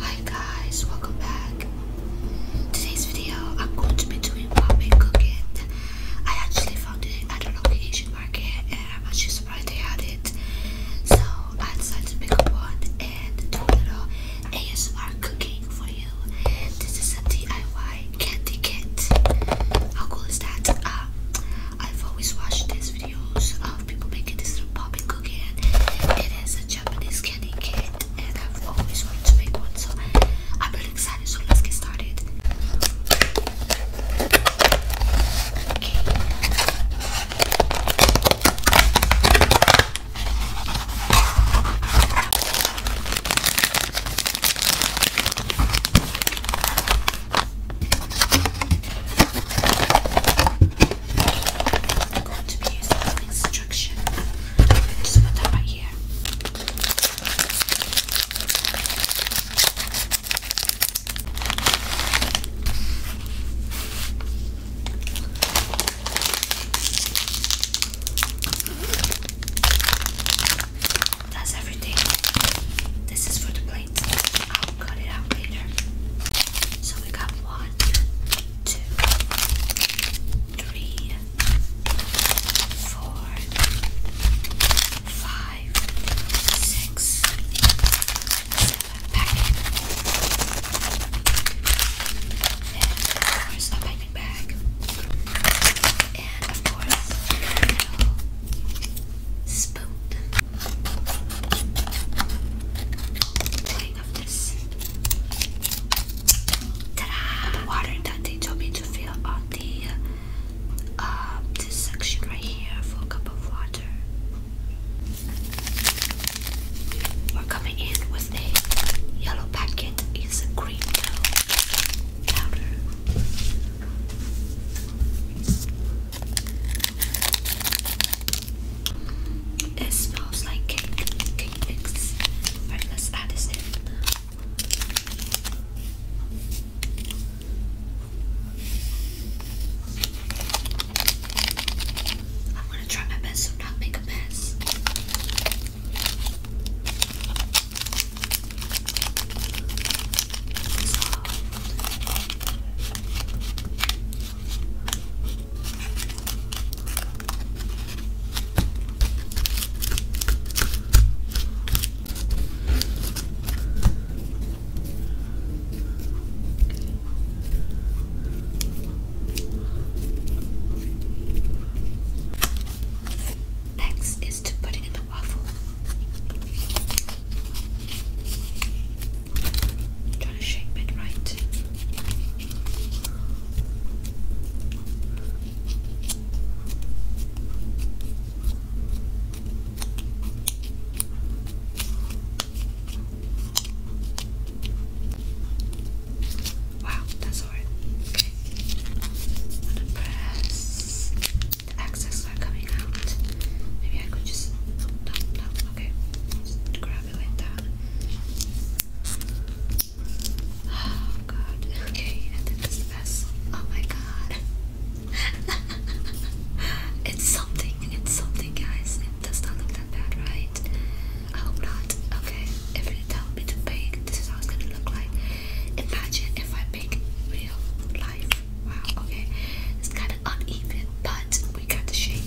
Hi guys, welcome back. Today's video, I'm going to be doing ramen cooking. I actually found it at a local Asian market, and I'm actually surprised they had it. So I decided to pick up one and do a little ASMR cooking for you. This is a DIY candy kit. How cool is that? Um, I've always watched these videos of people making this little popping cookie. and It is such Japanese candy kit and I've always wanted to make one so I'm really excited so let's get started going to be using an instruction. Just put that right here. That's everything. This is for the plates. cut it out later. So we got one, two, three, four, five, six, seven packing. And of course, a packing bag. And of course, a little spoon. The water that they told me to fill on the uh, this section right here for cup of water. We're coming in with the yellow packet. It's a green powder. It smells like cake, cake mix. Alright, let's add this in. I'm gonna try my best to not make a mess. Next is to put it in the waffle. I'm trying to shape it right. Wow, that's hard. Okay. I'm gonna press the excess are coming out. Maybe I could just oh, okay. grab Oh god. Okay, and this vessel. Oh my god. it's something. It's something, guys. It does not look that bad, right? I hope not. Okay, if you tell me to bake, this is how it's gonna look like. Imagine if I bake real life. Wow, okay. It's kind of uneven, but we got the shape.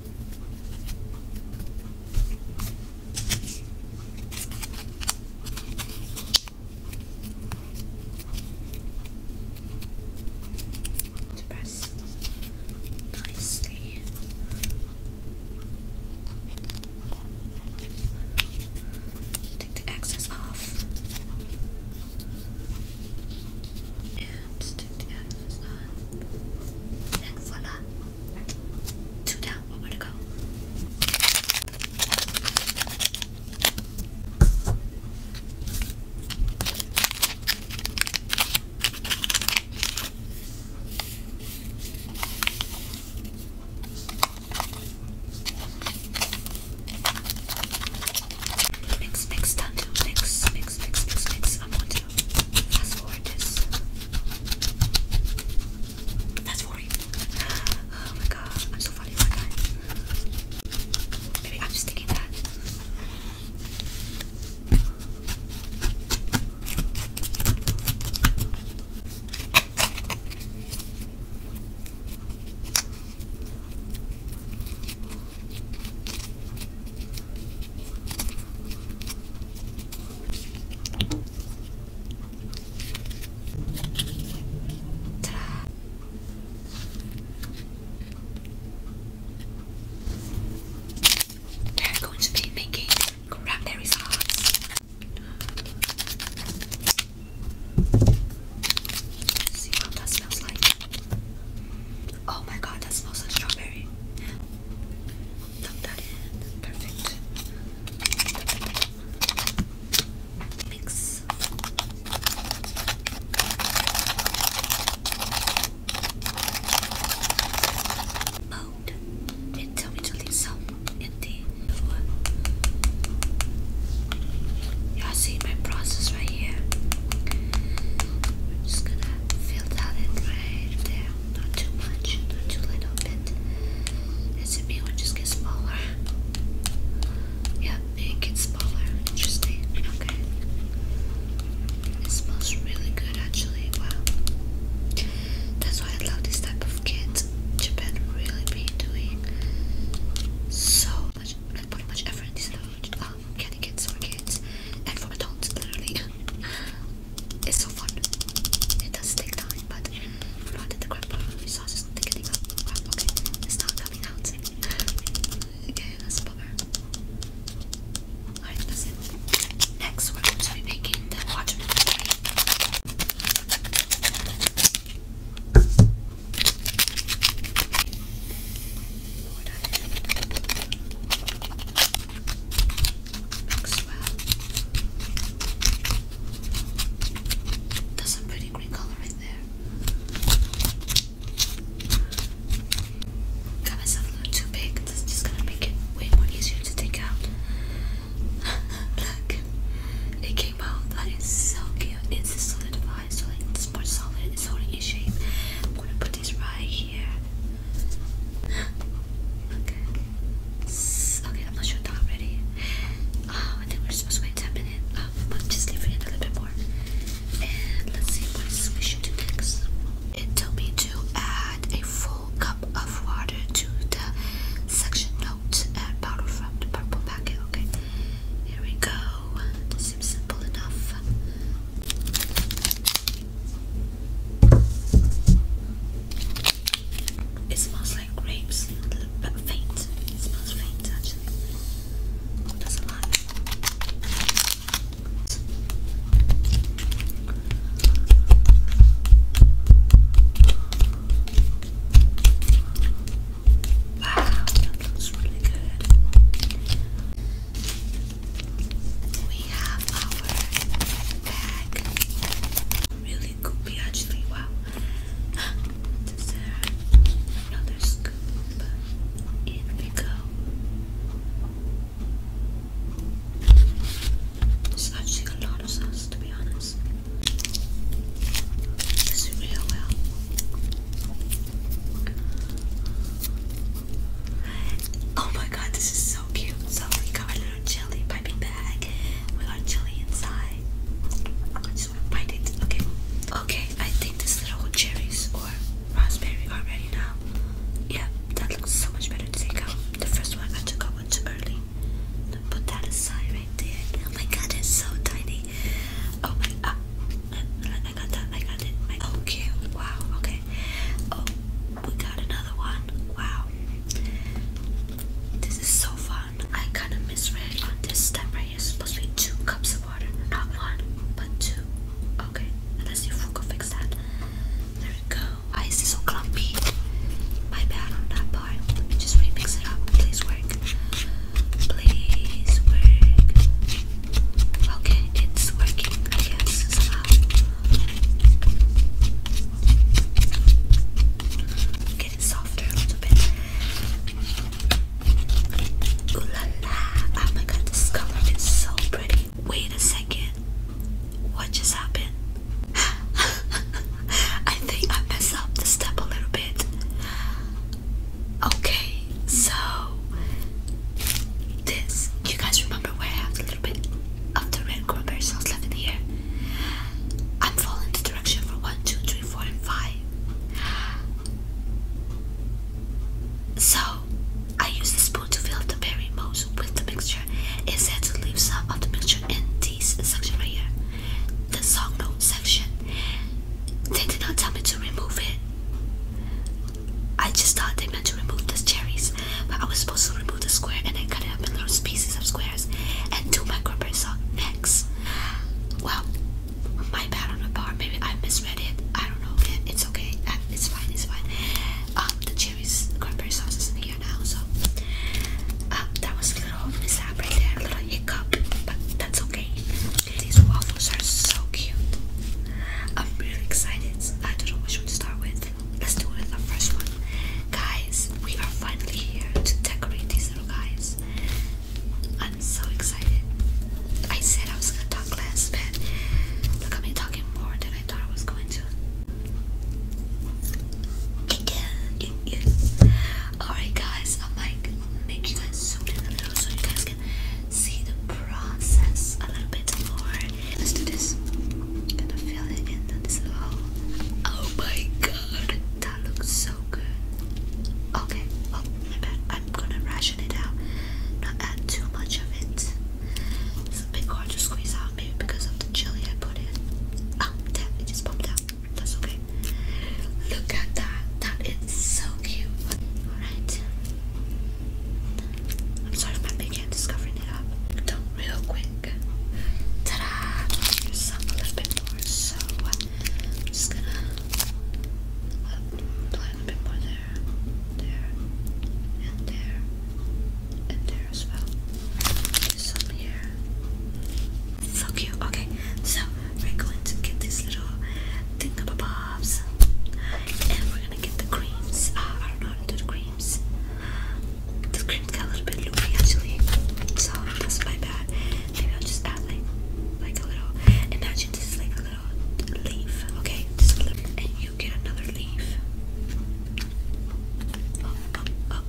to press nicely. Take the excess off. And take the excess on. And voila. Two down, one more to go. Mix, mix, done. Mix, mix, mix, mix, mix. I want that's forward this. Fast forward. Oh my god, I'm so funny, aren't Maybe I'm just that. We're going to be making cranberry sauce. see what that smells like. Oh my god, that smells like strawberry. Tuck that in. Perfect. Mix. Mode. It tell me to Y'all see my process right here. We're just gonna fill that in right there not too much, not too little bit. SMB will just get smaller. Yeah, it gets smaller. Interesting. Okay. It smells really good actually. Wow. That's why I love this type of kit. Japan really be doing so much like putting much effort into um candy kits for kids and for adults literally. It's so fun. It does take time, but I know that the crab sauce is not thickening up. it's not coming out. okay, that's a bummer. Alright, that's it. Next, we're going to be making the watermelon that's a pretty green color right there. Got myself a little too big. That's just gonna make it way more easier to take out. Look, it came out. That is so cute. It's solidified, so like it's more solid. It's holding its shape. I'm gonna put this right okay. okay, I'm not sure that I'm ready. Oh, I think we're supposed to wait 10 minutes. Um, but just leave it a little bit more. And let's see what we should do next. It told me to add a full cup of water to the section note and powder from the purple packet. Okay, here we go. seems simple enough. It smells like grapes, but faint. It smells faint actually. Wow, that looks really good we have our bag. Really goopy actually, wow. Dessert. Another scoop. In we go. There's actually a lot of sauce to be honest. This is real well. Oh my god, this is so cute. So we got our little jelly piping bag. We got jelly inside. I just want to bite it. Okay. Okay, I think this little cherries or raspberry are ready now. Yeah, that looks so much better take out. The first one I took one too early. Put that aside right there. Oh my god, it's so tiny. Oh my ah, I got that, I got it. My, okay, wow, okay. Oh, we got another one. Wow. This is so fun. I kind of misread on this step right here. It's supposed to be two cups of water, not one, but two. Okay, let's see if we can fix that. There we go. Why is this so clumpy? My bad on that part. Let me just remix it up. Please work. Please work. Okay, it's working. I guess somehow. Get softer a little bit. Ooh la la! Oh my god, this color is so pretty. Wait a second. What just happened? I think I messed up the step a little bit. Okay, so this. You guys remember? where I have a little bit of the red cranberry sauce left in here. I'm following the direction for 1, and 5. So, I use the spoon to fill up the berry mousse with the mixture. It said to some of the mixture in this section right here, the song note section. They did not tell me to remove it. I just thought they meant to remove the cherries but I was supposed to remove the square and then cut it up in little pieces of squares and do my corporate song next. Well, my bad on the bar. Maybe I misread it. I don't know. It's okay. Uh, it's fine. It's fine. Um, the cherries, cranberry sauce is in here now, so uh, that was a little mishap right there, a little hiccup, but that's okay. These waffles are so cute. I'm really excited. I don't know which one to start with. Let's do the first one. Guys, we are finally here to decorate these little guys. I'm so excited. I said I was gonna talk less, but look at me talking more than I thought I was going to. Alright guys, I'm like make you guys zoom in a little so you guys can see the process a little bit more. Let's do this. gonna fill it in this little hole. Oh my god, that looks so good. Okay, oh my bad. I'm gonna ration it out, not add too much of it. It's a bit hard to squeeze out, maybe because of the chili I put in. Oh, damn, it just popped out. That's okay. Look at that. That is so cute. Alright. I'm sorry if my big hand is it up. Done real quick. Ta-da! There's some a little bit more, so I'm just gonna apply uh, a little bit more there, there, and there, and there as well. Some here. So cute. Okay, so we're going to get these little thingamabobs, and we're gonna get the creams. Ah, I don't know how to do the creams the screams got a little bit loopy actually, so that's my bad. Maybe I'll just add like, like a little. Imagine this is like a little leaf, okay? Just a little, and you get another leaf. Up, up, up,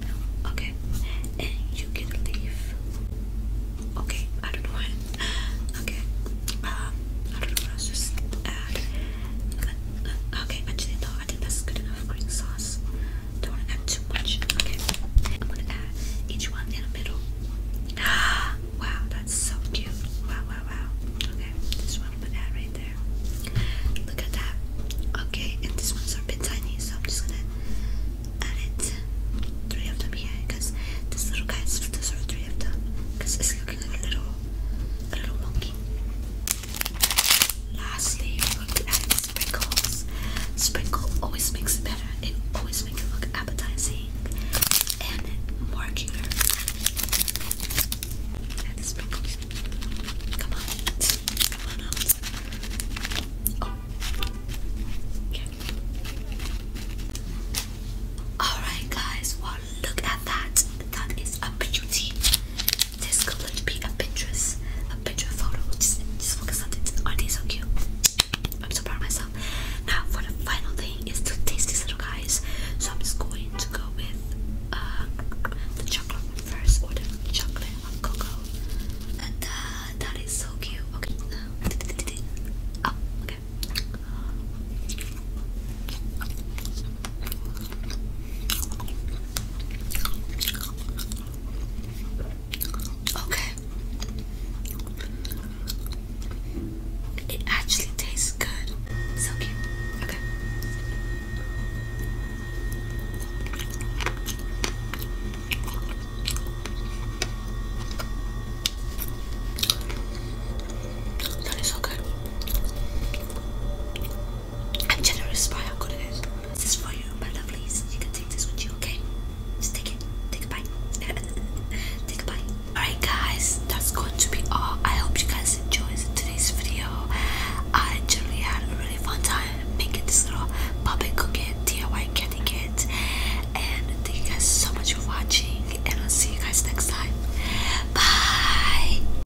okay, and you get a leaf. Okay, I don't know what. Okay, um, I don't know what else. Just add. Okay, actually though, I think that's good enough green sauce. Don't want to add too much. Okay, I'm gonna add each one in the middle. wow, that's so cute. Wow, wow, wow. Okay, this one I'm right there. Look at that. Okay, and these ones are a bit tiny, so I'm just gonna add it. Three of them here, because this little guy deserves three of them, because it's looking like a little, little monkey. Lastly, we're going to add sprinkles. Sprinkle always makes it better. It always makes it look appetizing and more cuter. Add the sprinkles. Come on. Come on out. Okay. Oh. Alright guys, well look at that. That is a beauty. This could like be a Pinterest, a Pinterest photo. Just, just focus on this. Aren't oh, they so cute? I'm so proud of myself. Now for the final thing is to taste these little guys. So I'm just going to go with uh, the chocolate one first, or the chocolate cocoa. And uh, that is so cute. Okay. Oh, okay. Okay. It actually tastes good. So cute. Okay. That is so good. I'm generous by how good it is. This is for you, my lovelies. You can take this with you, okay? Just take it. Take a bite. take a bite. Alright guys, that's going to be all. I hope you guys enjoyed today's video. I generally had a really fun time making this little puppy cookie DIY candy kit. And thank you guys so much for watching and I'll see you guys next time. Bye!